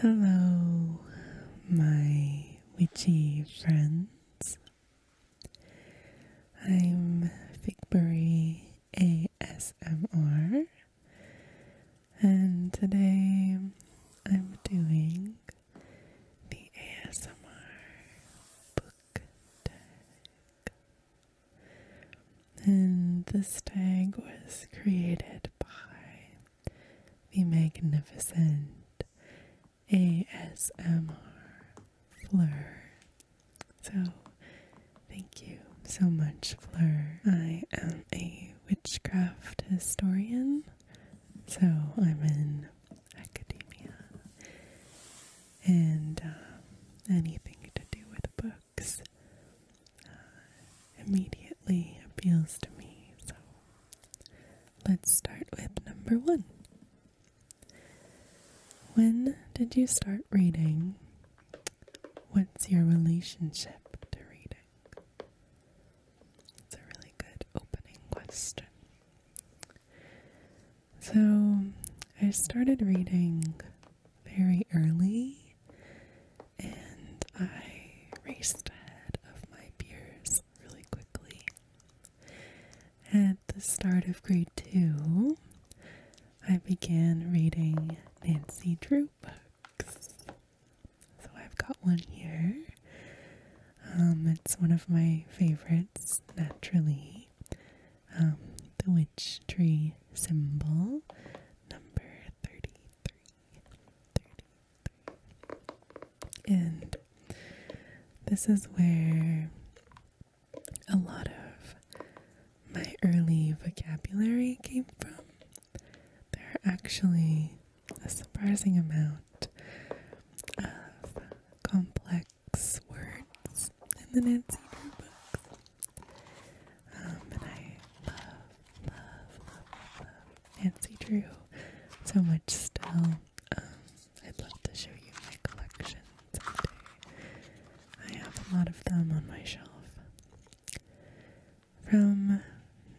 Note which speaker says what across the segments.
Speaker 1: Hello, my witchy friends. I'm Figberry ASMR, and today I'm doing the ASMR book tag. And this tag was created by the magnificent ASMR Fleur. So, thank you so much, Fleur. I am a witchcraft historian, so I'm in academia and um, anything to do with books. Uh, immediately appeals to me. So let's start with number one. When did you start reading? What's your relationship to reading? It's a really good opening question. So, I started reading very early and I raced ahead of my peers really quickly. At the start of grade two, I began reading Nancy Drew books. So I've got one here. Um, it's one of my favorites, naturally. Um, the Witch Tree Symbol, number 33. And this is where a lot of my early vocabulary came from. There are actually a surprising amount of complex words in the Nancy Drew books. Um, and I love, love, love, love Nancy Drew so much still. Um, I'd love to show you my collection I have a lot of them on my shelf. From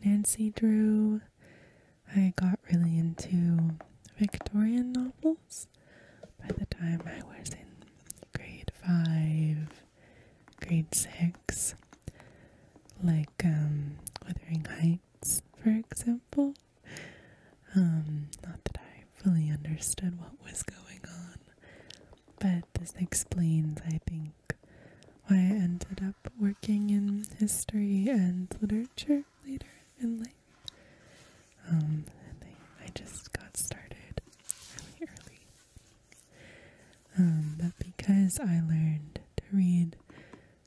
Speaker 1: Nancy Drew, I got really into Victorian novels by the time I was in grade five grade six, like um, Wuthering Heights, for example. Um, not that I fully understood what was going on, but this explains, I think, why I ended up working in history and literature later in life. Um, I just got started really early. Um, but because I learned to read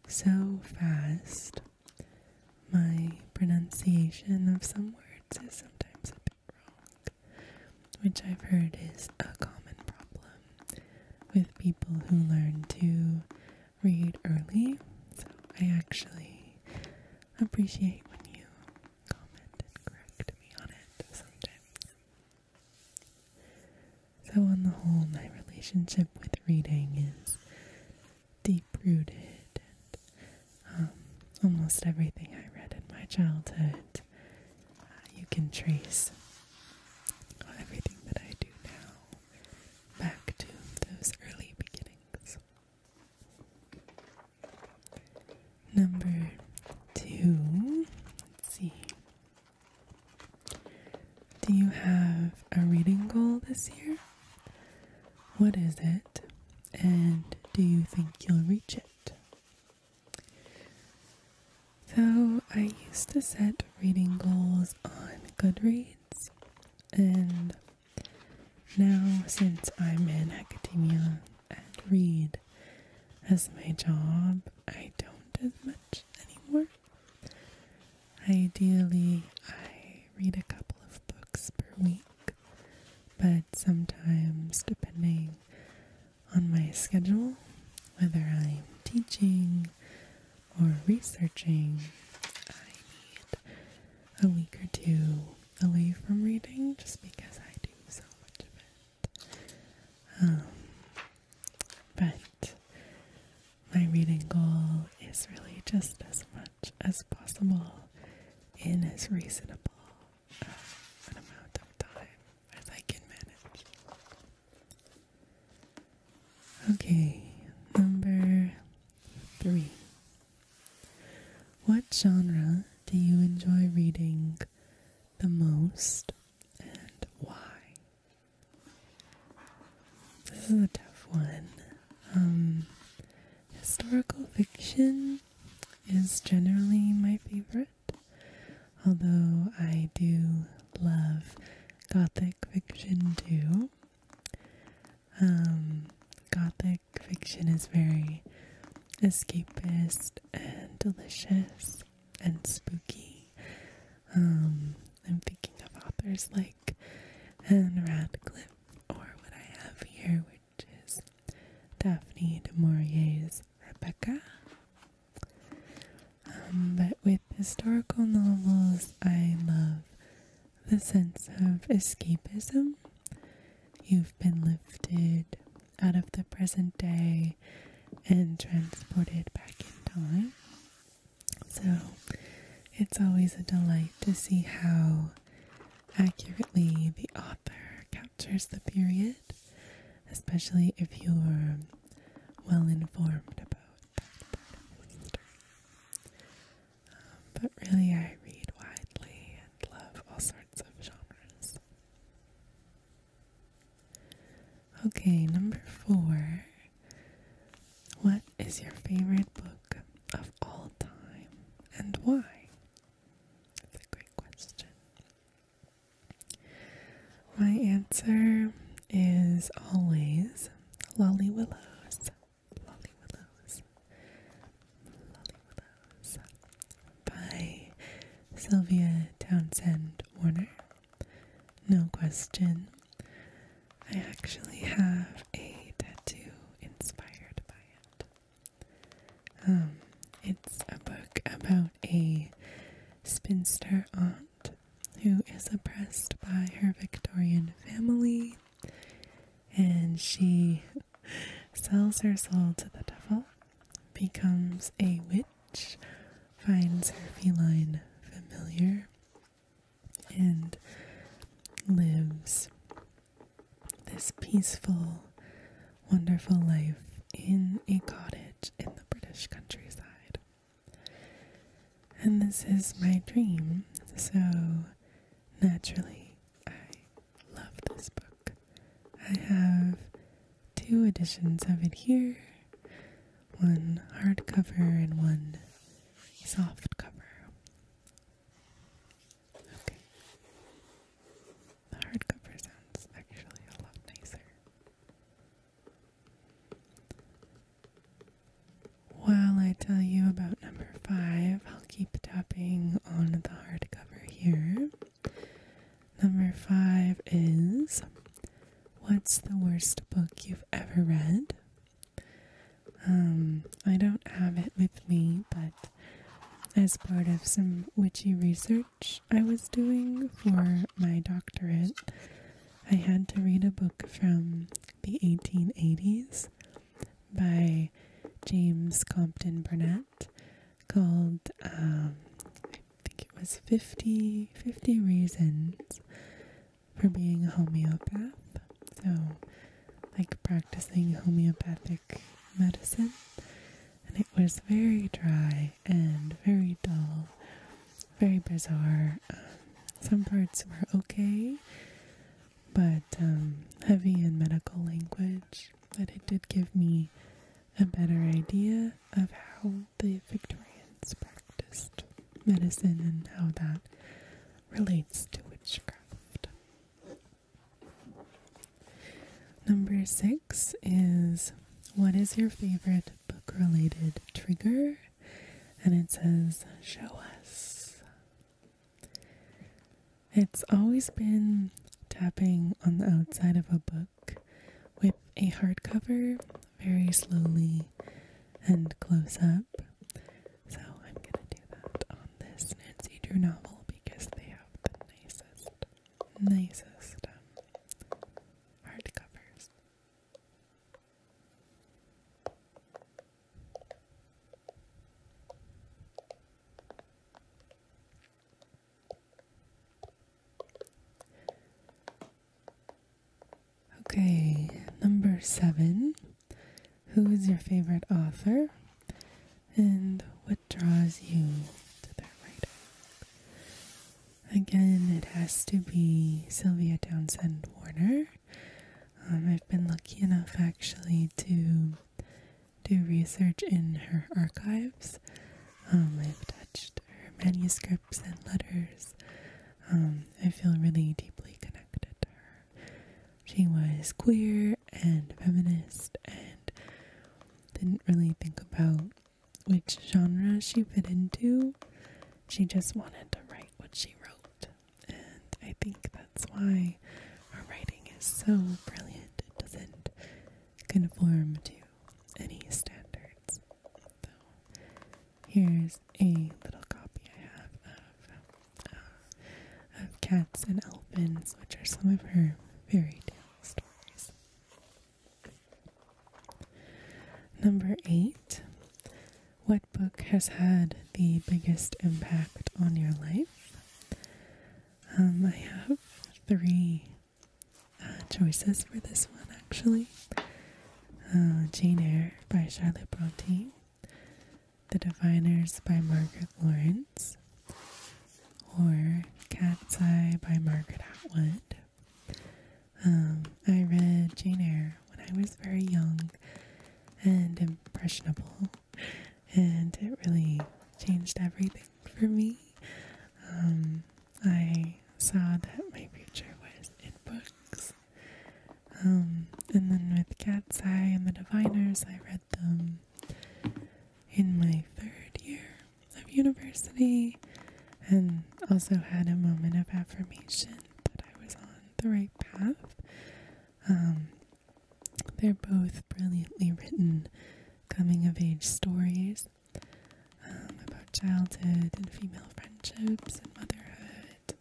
Speaker 1: so fast, my pronunciation of some words is sometimes a bit wrong, which I've heard is a common problem with people who learn to read early. So I actually appreciate when you comment and correct me on it sometimes. So, on the whole, my relationship with reading is deep rooted, and um, almost everything I read in my childhood uh, you can trace everything that I do now back to those early beginnings. Number two, let's see. Do you have a reading goal this year? What is it? And do you think you'll reach it? So, I used to set reading goals on Goodreads, and now since I'm in academia, and read as my job. I don't as much anymore. Ideally, I read a couple of books per week, but sometimes, depending on my schedule, whether I'm teaching or researching, I need a week or two away from reading just because I do so much of it. Um, but my reading goal is really just as much as possible in as reasonable uh, an amount of time as I can manage. Okay, number three. What genre do you enjoy reading the most and why? This is a tough one. Um, historical fiction is generally my favorite, although I do love gothic fiction too. Um, gothic fiction is very escapist and delicious and spooky. Um, I'm thinking of authors like Anne Radcliffe, or what I have here, which is Daphne du Maurier's Rebecca. Um, but with historical novels, I love the sense of escapism. You've been lifted out of the present day and transported back in time. So it's always a delight to see how accurately the author captures the period, especially if you're well informed about that part of history. but really, I read widely and love all sorts of genres. Okay, number four. What is your favorite book of all time and why? That's a great question. My answer is always Lolly Willows. Lolly Willows. Lolly Willows by Sylvia Townsend Warner. No question. I actually have a tattoo inspired by it. Um, it's a book about a spinster aunt who is oppressed by her Victorian family and she sells her soul to the devil becomes a witch, finds her feline familiar, and lives this peaceful, wonderful life in a cottage in the British countryside. And this is my dream, so naturally, I love this book. I have two editions of it here one hardcover and one soft cover. Okay. The hardcover sounds actually a lot nicer. While I tell you about number five, I'll keep tapping on the hardcover here. Number five is What's the worst book you've ever read? Um, I don't have it with me, but as part of some witchy research I was doing for my doctorate, I had to read a book from the 1880s by James Compton Burnett called um, I think it was 50 50 reasons for being a homeopath. So like practicing homeopathic medicine and it was very dry and very dull, very bizarre. Um, some parts were okay, but um, heavy in medical language but it did give me a better idea of how the Victorians practiced medicine and how that relates to witchcraft. Number six is what is your favorite book related trigger? And it says, Show us. It's always been tapping on the outside of a book with a hardcover very slowly and close up. So I'm gonna do that on this Nancy Drew novel because they have the nicest, nicest um, hardcovers. Okay, number seven. Who is your favorite author and what draws you to their writing? Again, it has to be Sylvia Townsend Warner. Um, I've been lucky enough actually to do research in her archives. Um, I've touched her manuscripts and letters. Um, I feel really deeply connected to her. She was queer and feminist and didn't really think about which genre she fit into. She just wanted to write what she wrote. And I think that's why why our writing is so brilliant. It doesn't conform to any standards. So, here's a little copy I have of, uh, of Cats and Elfins, which are some of her fairy tale stories. Number eight. What book has had the biggest impact on your life? Um, I have three uh, choices for this one actually uh, Jane Eyre by Charlotte Bronte, The Diviners by Margaret Laurence, or Cat's Eye by Margaret Atwood. Um, I read Jane Eyre when I was very young and impressionable, and it really changed everything for me. Um, I saw that my future was in books. Um, and then with Cat's Eye and The Diviners, I read them in my third year of university and also had a moment of affirmation that I was on the right path. Um, they're both brilliantly written coming of age stories um, about childhood and female friendships and motherhood.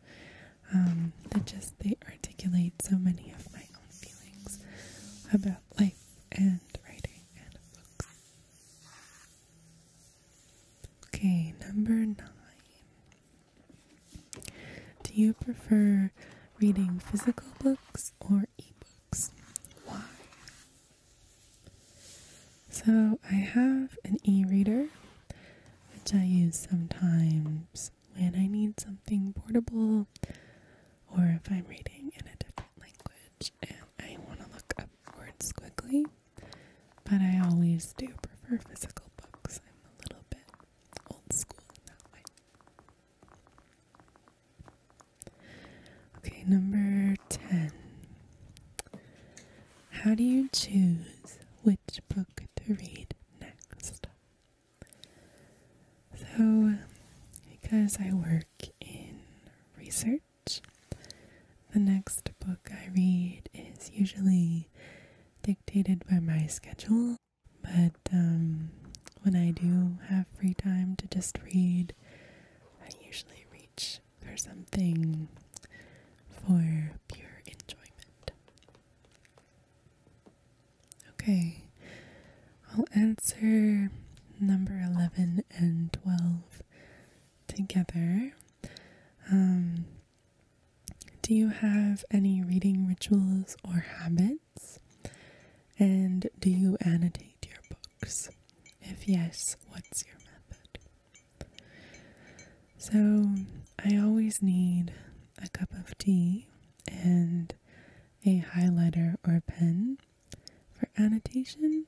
Speaker 1: Um, that just they articulate so many of my own feelings about life and writing and books. Okay, number nine. Do you prefer reading physical books or e-books. Why? So, I have an e reader which I use sometimes when I need something portable or if I'm reading in a different language and I want to look up words quickly. But I always do prefer physical books. I'm a little bit old school in that way. Okay, number 10. How do you choose which book to read next? So, because I work in research, the next book I read is usually dictated by my schedule but um, when I do have free time to just read, I usually reach for something for pure enjoyment. Okay, I'll answer number 11 and 12 together. Um, do you have any reading rituals or habits? And do you annotate your books? If yes, what's your method? So, I always need a cup of tea and a highlighter or pen for annotation,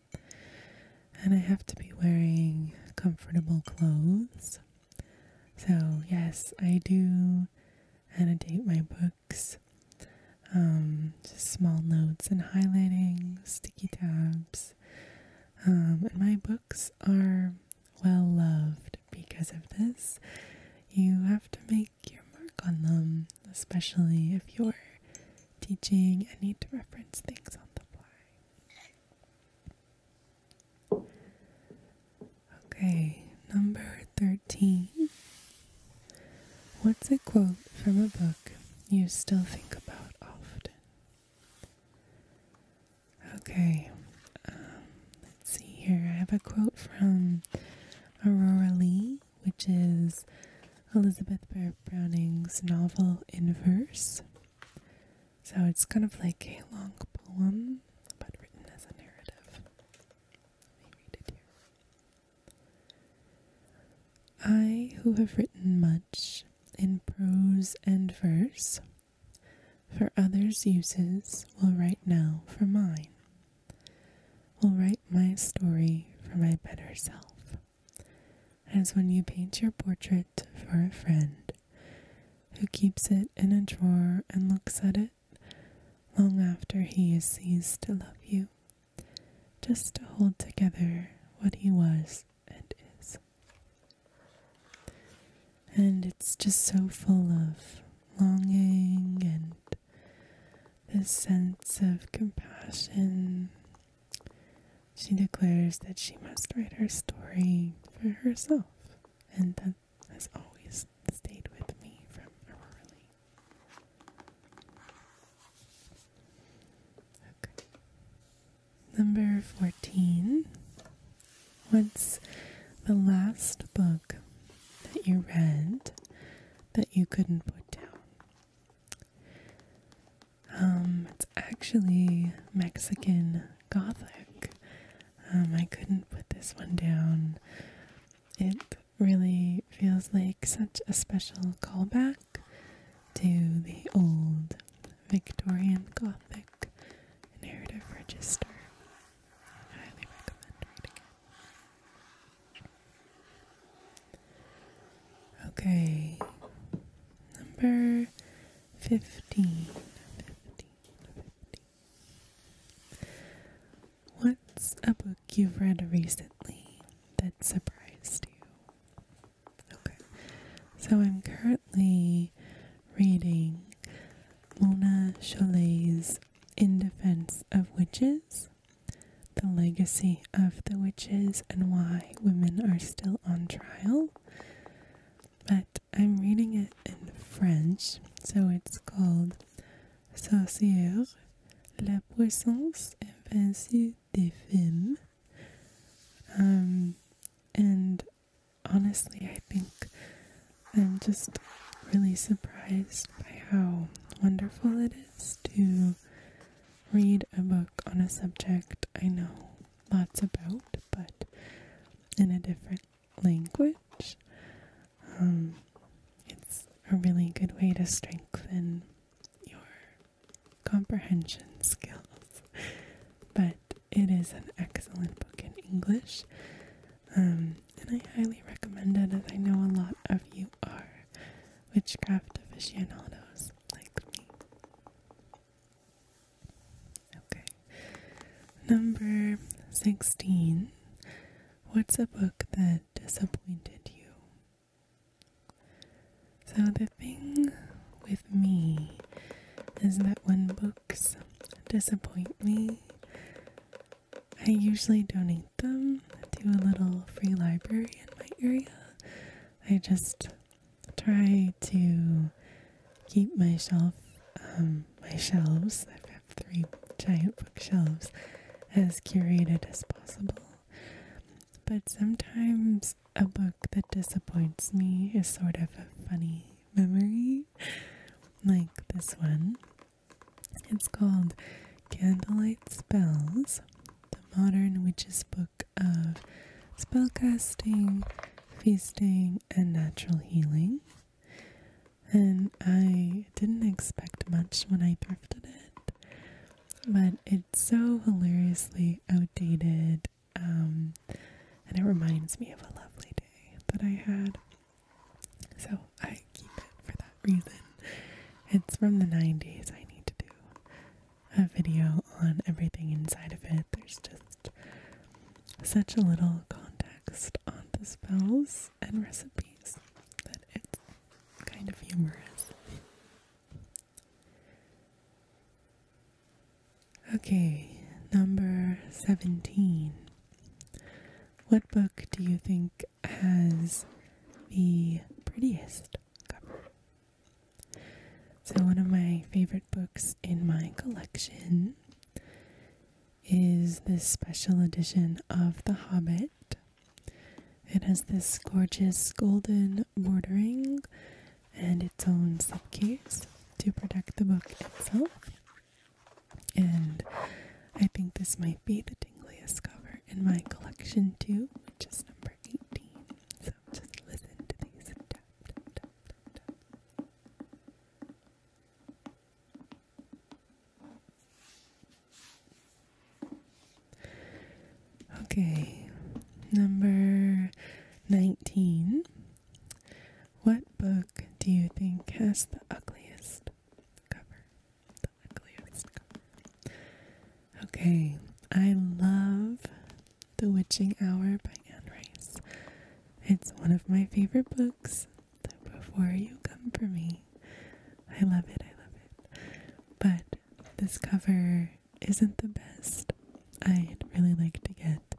Speaker 1: and I have to be wearing comfortable clothes. So, yes, I do annotate my books. Um, just small notes and highlighting, sticky tabs. Um, and my books are well loved because of this. You have to make your mark on them, especially if you're teaching and need to reference things on the fly. Okay, number 13. What's a quote from a book you still think about often? Okay, um, let's see here. I have a quote from Aurora Lee, which is Elizabeth Barrett Browning's novel in verse. So it's kind of like a long poem, but written as a narrative. I, who have written much in prose and verse, for others' uses, will write now for mine, will write my story for my better self, as when you paint your portrait for a friend who keeps it in a drawer and looks at it long after he has ceased to love you, just to hold together what he was and is. And it's just so full of longing and this sense of compassion. She declares that she must write her story for herself, and that has always stayed with me from Aurora Lee. Okay. Number 14. What's the last book that you read that you couldn't put down? Um, it's actually Mexican Gothic. Um, I couldn't put this one down. It really feels like such a special callback to the old Victorian Gothic narrative register. highly recommend reading Okay, number 15. What's a book you've read recently that surprised you? Okay, so I'm currently reading Mona Cholet's In Defense of Witches The Legacy of the Witches and Why Women Are Still on Trial. But I'm reading it in French, so it's called sorcière, la puissance invincible des femmes. Um, and honestly, I think I'm just really surprised by how wonderful it is to read a book on a subject I know lots about, but in a different language. Um, it's a really good way to strengthen your comprehension skills. But it is an excellent book in English, um, and I highly recommend it as I know a lot of you are witchcraft aficionados like me. Okay, Number 16. What's a book that disappointed you? So, the thing with me is that when books disappoint me, I usually donate them to a little free library in my area. I just try to keep my shelf, um, my shelves, three giant bookshelves as curated as possible. But sometimes a book that disappoints me is sort of a funny memory, like this one. It's called Candlelight Spells The Modern Witch's Book of Spellcasting, Feasting, and Natural Healing and I didn't expect much when I thrifted it, but it's so hilariously outdated. Um, and it reminds me of a lovely day that I had, so I keep it for that reason. It's from the 90s. I need to do a video on everything inside of it. There's just such a little context on the spells and recipes that it's kind of humorous. Okay, number 17. What book do you think has the prettiest cover? So, one of my favorite books in my collection is this special edition of The Hobbit. It has this gorgeous golden bordering and its own slipcase to protect the book itself. And I think this might be the tingliest cover in my collection too, which is number 18. So just listen to these Okay, number 19. What book do you think has the ugliest cover? Okay, I love The Witching Hour by Anne Rice. It's one of my favorite books before you come for me. I love it, I love it. But this cover isn't the best. I'd really like to get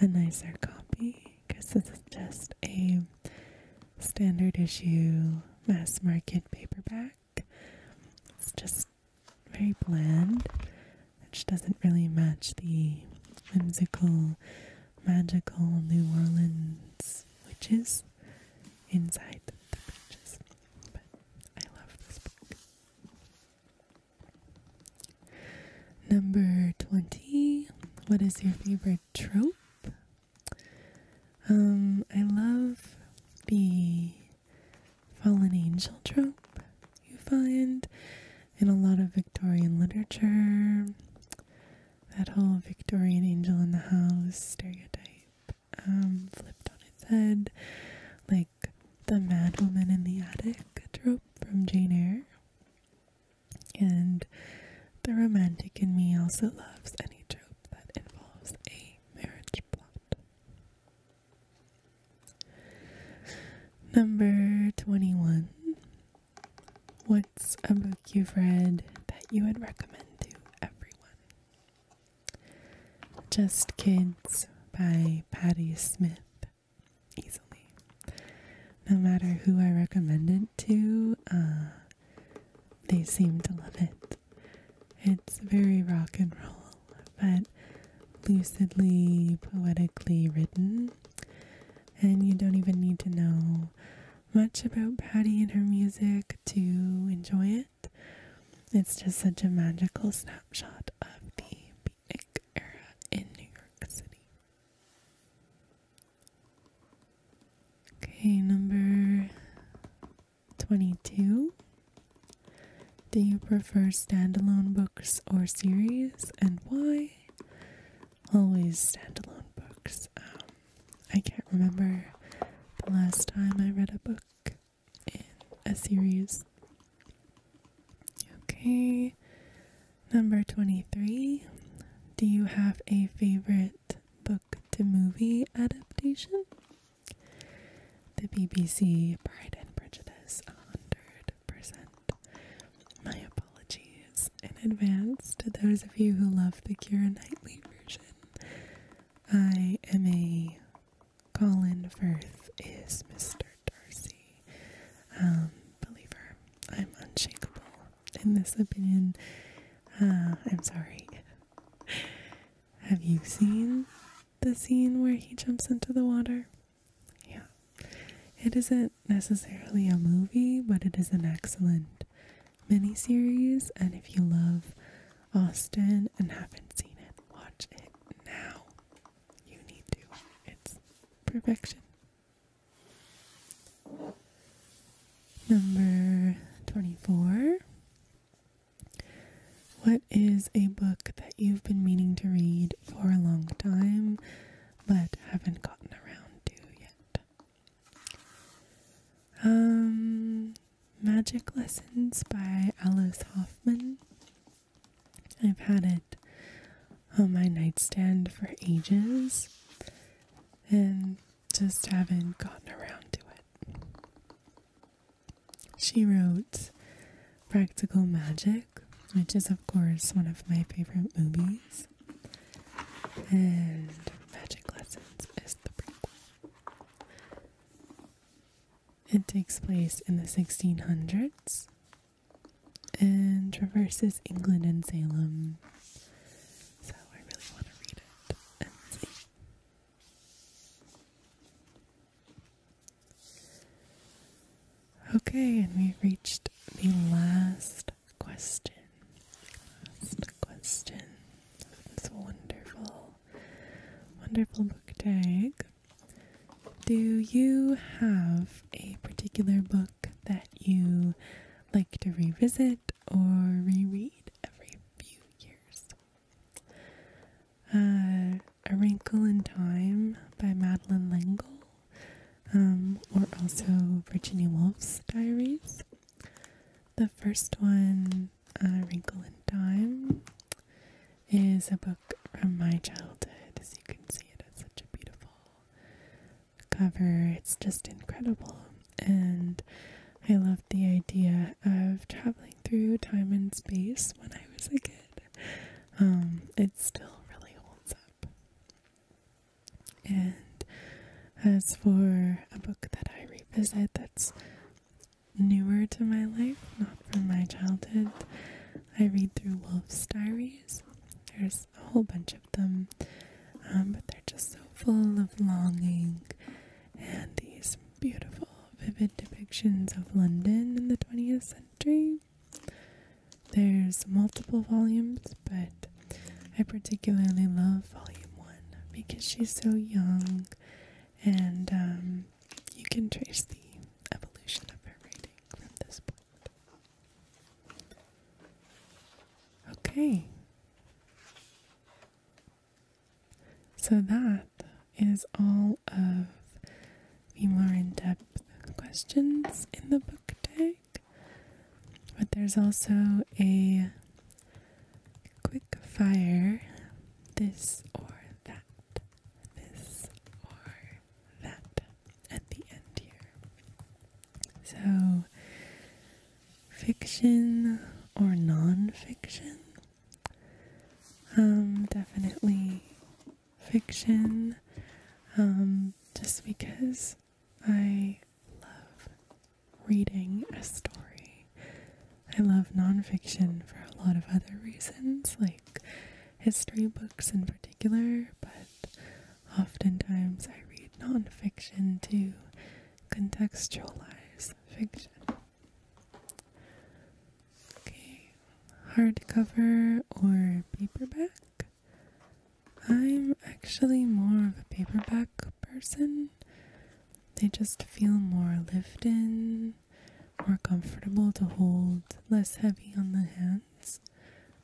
Speaker 1: a nicer copy because this is just a standard issue mass market paperback. It's just very bland, which doesn't really match the whimsical magical New Orleans witches inside the, the pages. But I love this book. Number 20. What is your favorite trope? Um, I love the fallen angel trope you find in a lot of Victorian literature. That whole Victorian angel in the house stereotype um, flipped on its head, like the madwoman in the attic trope from Jane Eyre. And the romantic in me also loves any trope that involves a marriage plot. Number 21 What's a book you've read that you would recommend to everyone? Just Kids by Patti Smith. Easily. No matter who I recommend it to, uh, they seem to love it. It's very rock and roll, but lucidly, poetically written and you don't even need to know much about Patty and her music to enjoy it. It's just such a magical snapshot of the beatnik era in New York City. Okay, number 22. Do you prefer standalone books or series and why? always standalone books. Um, I can't remember the last time I read a book in a series. Okay, number 23. Do you have a favorite book to movie adaptation? The BBC *Bride and Prejudice 100 my apologies in advance to those of you who love the Kira Knightley version. I am a Colin Firth is Mr. Darcy um, believer. I'm unshakable in this opinion. Uh, I'm sorry. Have you seen the scene where he jumps into the water? yeah. It isn't necessarily a movie, but it is an excellent mini series. And if you love Austin and haven't seen it, watch it now. You need to. It's perfection. Number 24. What is a book that you've been meaning to read for a long time but haven't gotten around to yet. Um, Magic Lessons by Alice Hoffman. I've had it on my nightstand for ages and just haven't gotten around to it. She wrote Practical Magic, which is, of course, one of my favorite movies. And Magic Lessons is the prequel. It takes place in the 1600s and traverses England and Salem. So I really want to read it and see. Okay, and we reached the last question. question of wonderful, wonderful book tag. Do you have a particular book that you like to revisit or reread every few years? Uh, a Wrinkle in Time by Madeline Lingle. Um, or also Virginia Woolf's diaries. The first one, uh, Wrinkle in Time, is a book from my childhood. As you can see, it has such a beautiful cover. It's just incredible. And I loved the idea of traveling through time and space when I was a kid. Um, it still really holds up. And as for a book that I revisit that's newer to my life, not from my childhood, I read through Wolf's Diaries. There's a whole bunch of them, um, but they're just so full of longing and these beautiful, vivid depictions of London in the 20th century. There's multiple volumes, but I particularly love volume one because she's so young and um, you can trace the evolution of her writing from this point. Okay. So that is all of more in depth questions in the book tag. But there's also a quick fire this or that, this or that at the end here. So, fiction or non fiction? Um, definitely fiction, um, just because I love reading a story. I love nonfiction for a lot of other reasons, like history books in particular, but oftentimes I read nonfiction to contextualize fiction. Okay, hardcover or paperback? I'm actually more of a paperback person. They just feel more lived in, more comfortable to hold, less heavy on the hands.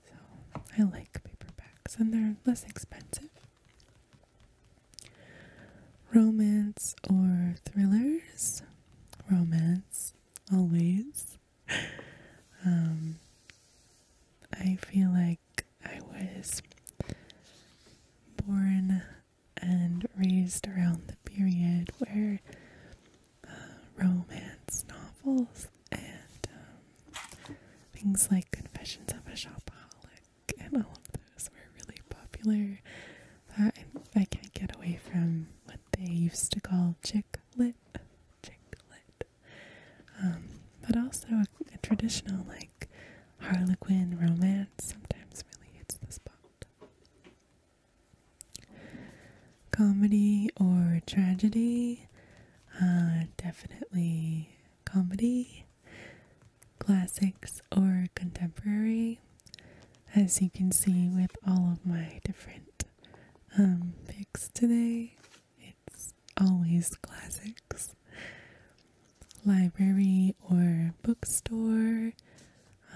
Speaker 1: So I like paperbacks and they're less expensive. Romance or thrillers? Romance, always um, I feel like I was born and raised around the period where uh, romance novels and um, things like Confessions of a Shopaholic and all of those were really popular. Uh, I can't get away from what they used to call chick chicklet, chicklet. Um, but also a, traditional like Harlequin romance sometimes really hits the spot. Comedy or tragedy? Uh, definitely comedy. Classics or contemporary? As you can see with all of my different um, picks today. It's always classics. Library or bookstore.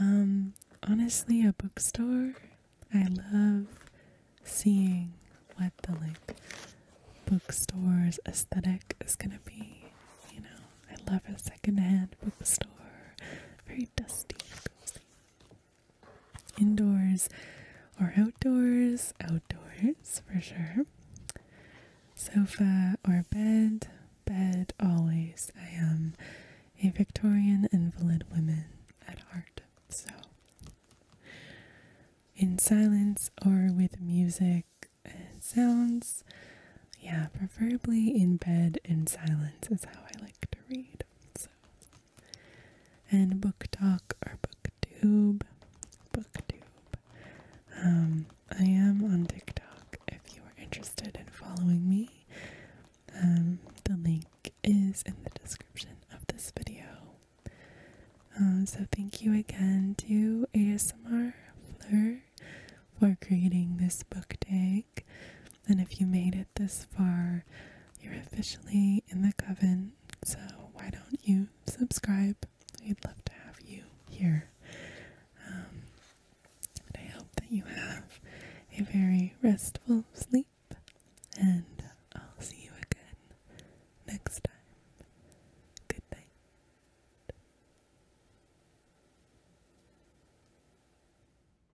Speaker 1: Um, honestly, a bookstore. I love seeing what the like bookstore's aesthetic is gonna be. You know, I love a secondhand bookstore. Very dusty, indoors or outdoors, outdoors for sure. Sofa or bed, bed always. I am a Victorian invalid woman at heart, so in silence or with music and sounds. Yeah, preferably in bed in silence is how I like to read. So and BookTok or BookTube. BookTube. Um, I am on TikTok if you are interested in following me. Um, the link is in the description of this video. Um, so thank you again to ASMR Fleur for creating this book day and if you made it this far, you're officially in the coven. So why don't you subscribe? we would love to have you here. Um, and I hope that you have a very restful sleep, and I'll see you again next time. Good night.